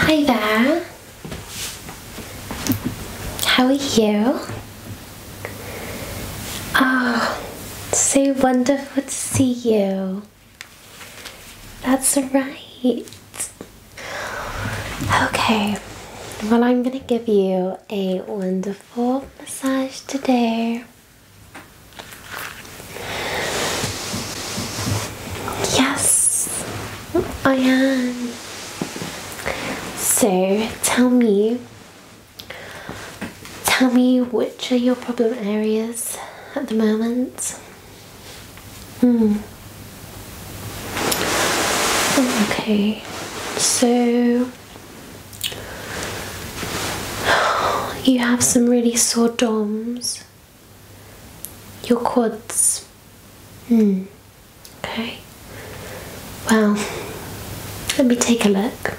Hi there. How are you? Oh, so wonderful to see you. That's right. Okay, well, I'm gonna give you a wonderful massage today. Yes, I oh, am. So tell me, tell me which are your problem areas at the moment? Hmm. Okay, so You have some really sore DOMs. Your quads. Hmm. Okay. Well, let me take a look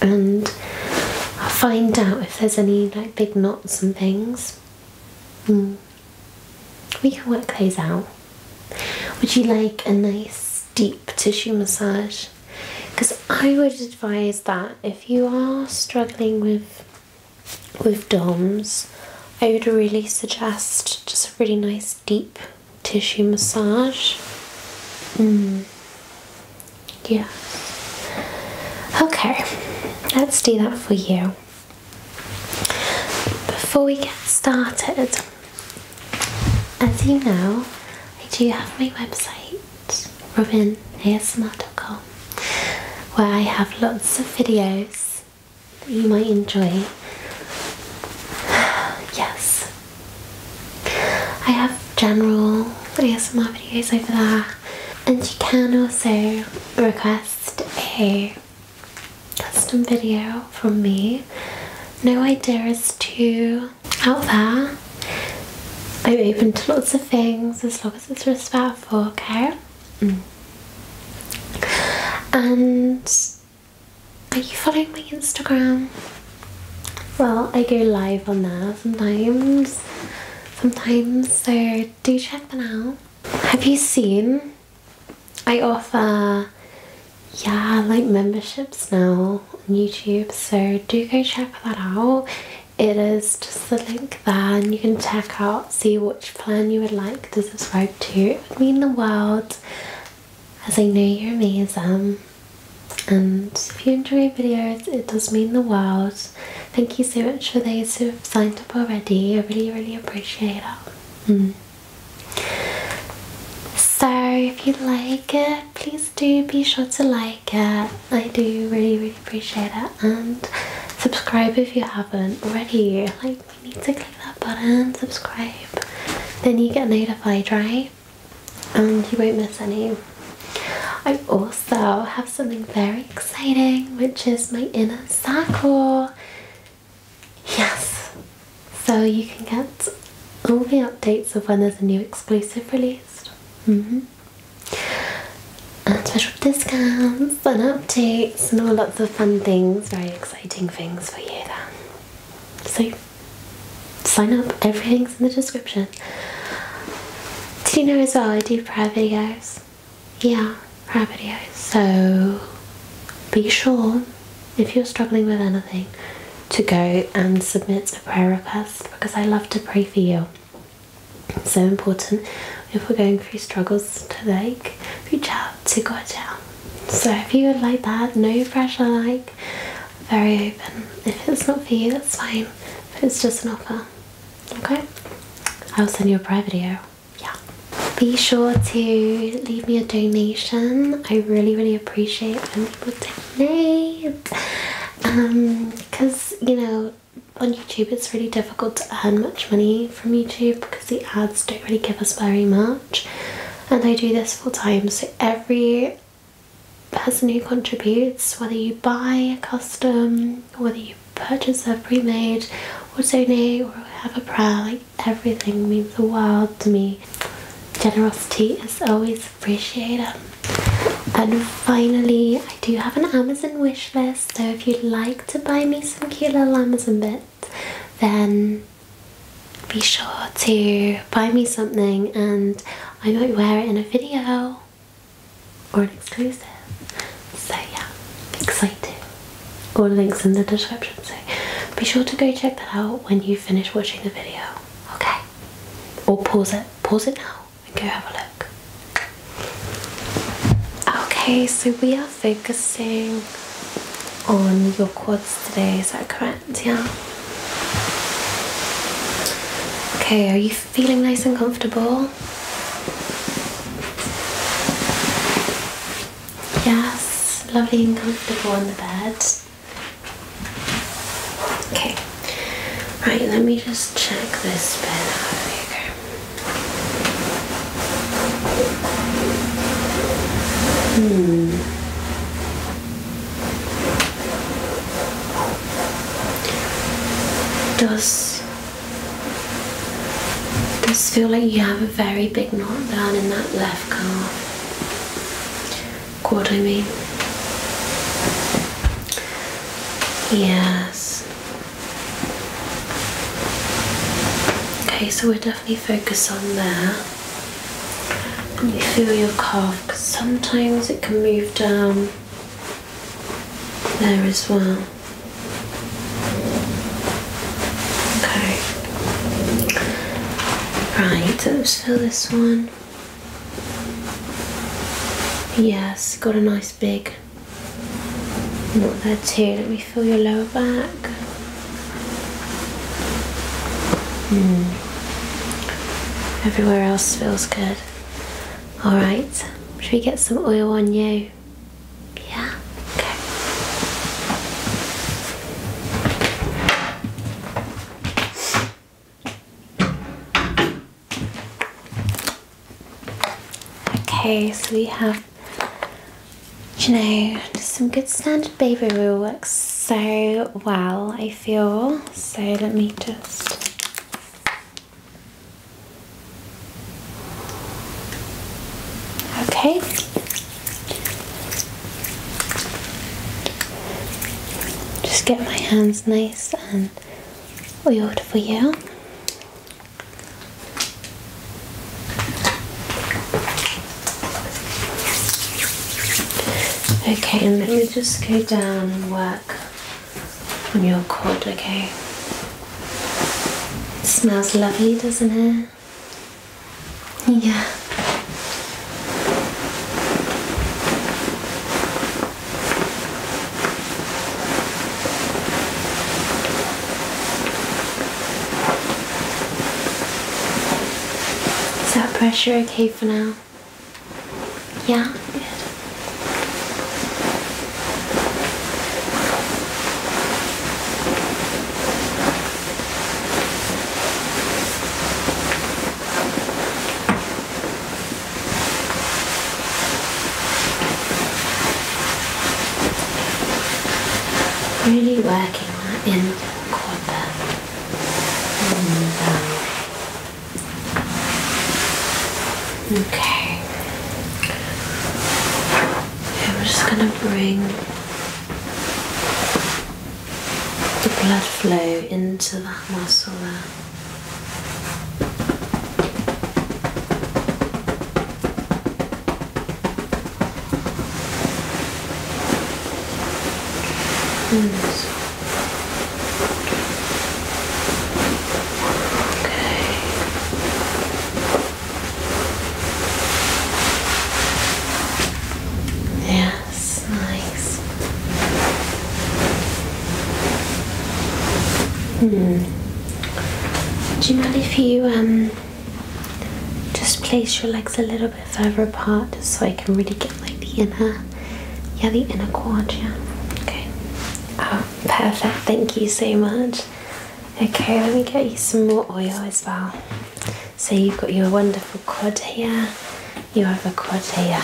and I'll find out if there's any like big knots and things. Hmm. We can work those out. Would you like a nice deep tissue massage because I would advise that if you are struggling with with DOMS, I would really suggest just a really nice deep tissue massage. Mm. Yeah. Okay, let's do that for you. Before we get started, as you know, I do have my website, robinasmr.com, where I have lots of videos that you might enjoy. Yes, I have general ASMR videos over there, and you can also request a custom video from me no idea as to out there. I'm open to lots of things as long as it's respectful, okay? Mm. And are you following my Instagram? Well, I go live on there sometimes. Sometimes, so do check that out. Have you seen? I offer yeah, like memberships now on YouTube, so do go check that out. It is just the link there, and you can check out, see which plan you would like to subscribe to. It would mean the world, as I know you're amazing. And if you enjoy videos, it does mean the world. Thank you so much for those who have signed up already. I really, really appreciate it. Mm. So if you like it, please do be sure to like it. I do really, really appreciate it. And subscribe if you haven't already. Like, you need to click that button, subscribe. Then you get notified, right? And you won't miss any. I also have something very exciting, which is my inner circle. Yes, so you can get all the updates of when there's a new exclusive released. Mm-hmm. And special discounts and updates and all lots of fun things, very exciting things for you then. So sign up, everything's in the description. Did you know as well I do private videos? Yeah, private videos. So be sure if you're struggling with anything, to go and submit a prayer request because I love to pray for you. so important if we're going through struggles to like reach out to God. So if you would like that, no pressure, like very open. If it's not for you, that's fine. If it's just an offer, okay. I'll send you a private video. Yeah. Be sure to leave me a donation. I really, really appreciate when people donate. Um, because you know, on YouTube it's really difficult to earn much money from YouTube because the ads don't really give us very much. And I do this full time, so every person who contributes, whether you buy a custom, whether you purchase a pre-made, or donate, or have a prayer, like everything means the world to me. Generosity is always appreciated. And finally, I do have an Amazon wishlist. so if you'd like to buy me some cute little Amazon bits, then be sure to buy me something and I might wear it in a video or an exclusive. So yeah, excited all the links in the description so be sure to go check that out when you finish watching the video okay or pause it pause it now and go have a look okay so we are focusing on your quads today is that correct yeah okay are you feeling nice and comfortable Yes, lovely and comfortable on the bed. Okay, right, let me just check this bed Hmm. Does this feel like you have a very big knot down in that leg? left calf. Quad, mean. Yes. Okay, so we are definitely focus on there. And you feel your calf because sometimes it can move down there as well. Okay. Right, fill this one. Yes, got a nice big knot there too. Let me fill your lower back. Hmm. Everywhere else feels good. Alright, should we get some oil on you? Yeah? Okay. Okay, so we have, you know, just some good standard baby will works so well, I feel. So let me just Okay. Just get my hands nice and weird for you. Okay, and let me just go down and work on your cord, okay? smells lovely, doesn't it? Yeah. Is that pressure okay for now? Yeah? Good really working in copper and, um, okay Okay, we're just going to bring the blood flow into that muscle there. Mm. Okay. Yes, nice. Hmm. Do you mind if you um just place your legs a little bit further apart just so I can really get like the inner yeah the inner quad, yeah. Okay. Oh, perfect, thank you so much. Okay, let me get you some more oil as well. So you've got your wonderful quad here, you have a quad here.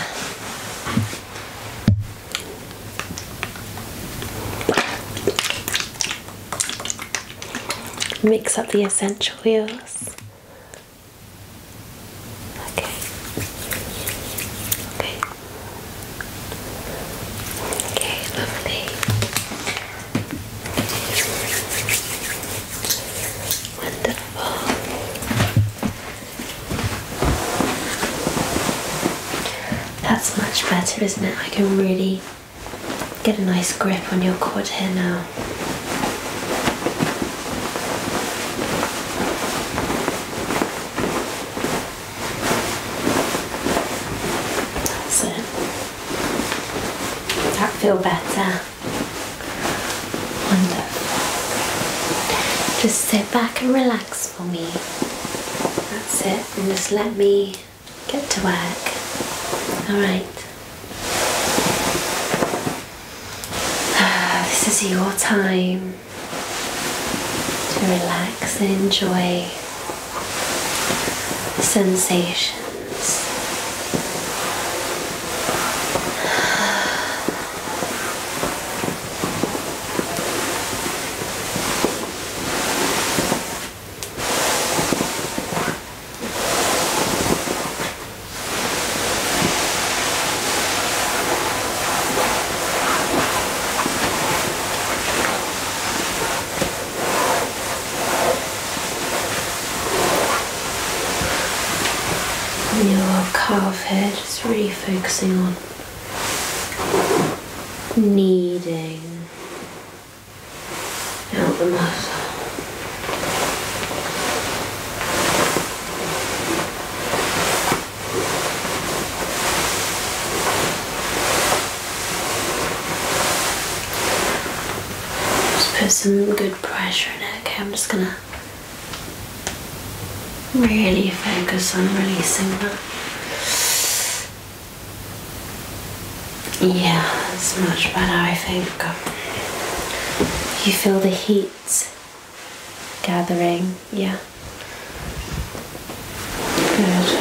Mix up the essential oils. Okay. Okay. Okay, lovely. Wonderful. That's much better, isn't it? I can really get a nice grip on your cord here now. That's it. That feel better. Wonderful. Just sit back and relax for me. That's it. And just let me get to work. Alright. This is your time to relax and enjoy sensations. Your calf head is refocusing on kneading out the muscle. Just put some good pressure in it. Okay, I'm just gonna really focus on releasing that. Yeah, it's much better, I think. You feel the heat gathering, yeah. Good.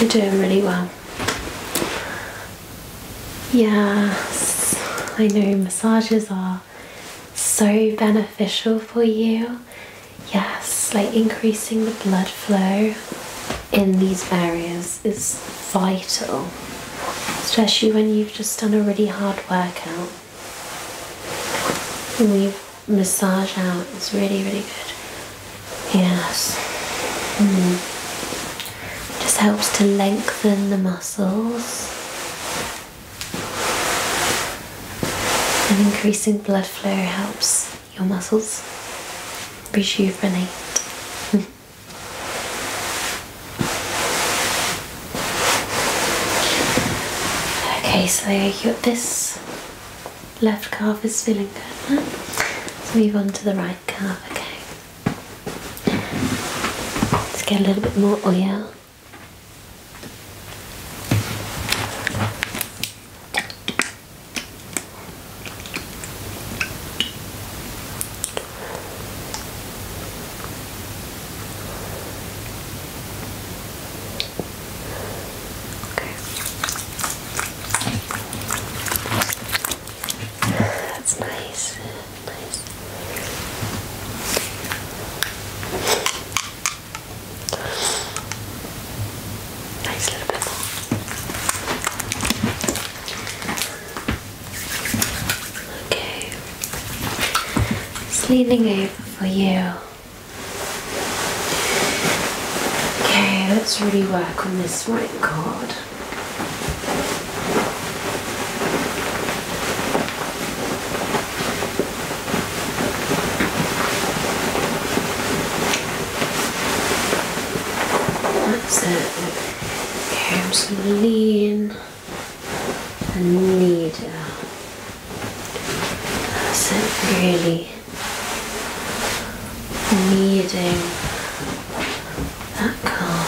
You're doing really well. Yes, I know massages are so beneficial for you. Yes, like increasing the blood flow in these areas is vital, especially when you've just done a really hard workout we've out. It's really, really good. Yes. Mm-hmm. Just helps to lengthen the muscles and increasing blood flow helps your muscles rejuvenate. Okay, so you, this left calf is feeling good Let's move on to the right calf, okay? Let's get a little bit more oil. Okay. That's nice. Nice. Nice little bit more. Okay. Just leaning over for you. Okay, let's really work on this right cord. That's it. Okay, I'm just going a need person uh, really needing that calm.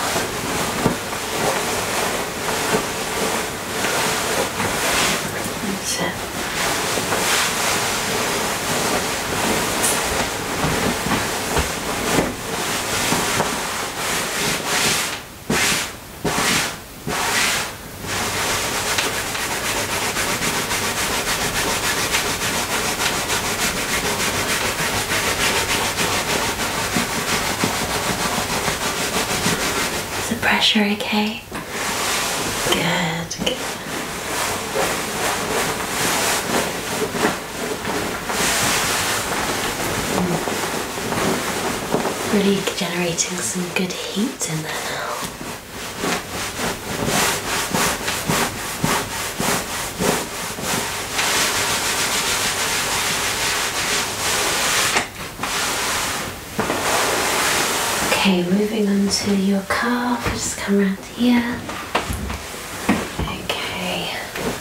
That's is the pressure okay? Good. Really generating some good heat in there now. Okay, moving on to your calf, just come around here. Okay.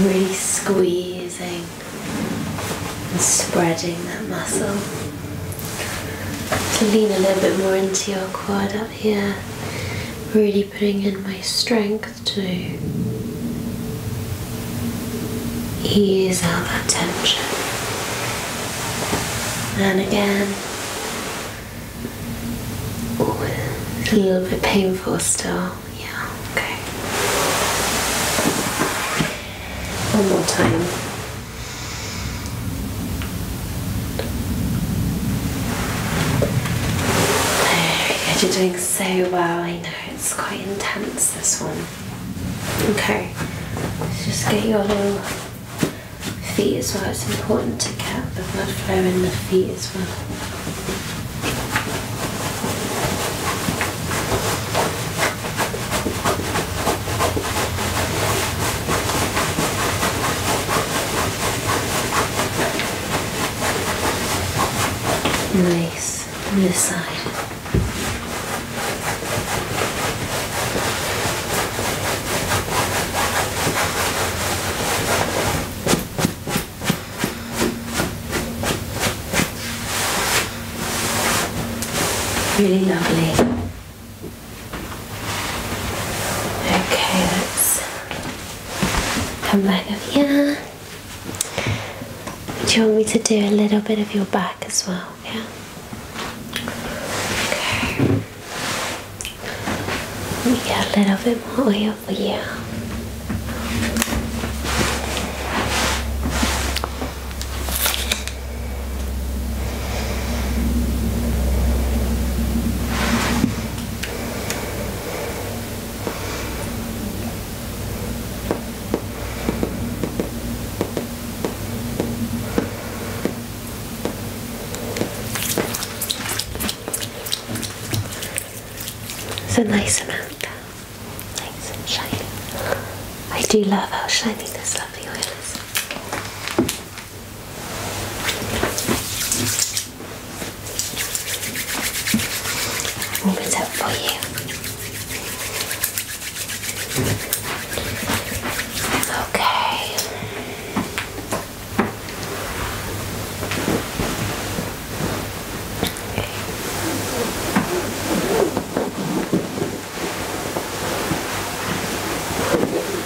really squeezing and spreading that muscle. To lean a little bit more into your quad up here, really putting in my strength to ease out that tension. And again, a little bit painful still. Yeah, okay. One more time you're doing so well. I know it's quite intense this one. Okay, just get your little feet as well. It's important to get the blood flow in the feet as well. Nice. this side. Really lovely. Okay, let's come back over here. Do you want me to do a little bit of your back as well? Yeah. Okay. We get a little bit more oil for you. It's a nice amount, nice and shiny. I do love how shiny this lovely oil is. Move it up for you. okay.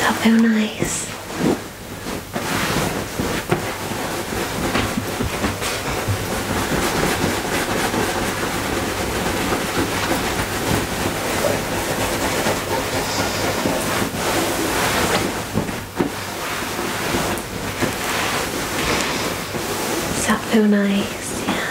that feel nice? So nice, yeah.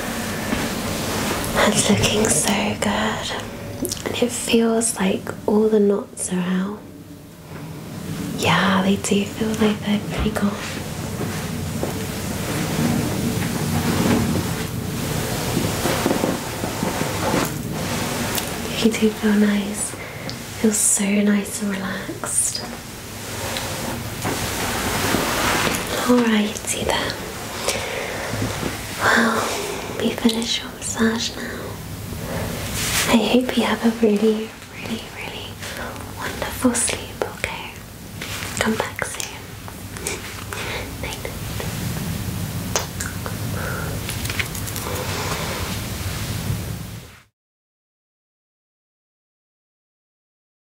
It's looking so good. And it feels like all the knots are out. Yeah, they do feel like they're pretty gone. You do feel nice. Feel so nice and relaxed. Alright, see that. Well, we finish your massage now. I hope you have a really, really, really wonderful sleep, okay? Come back soon. night.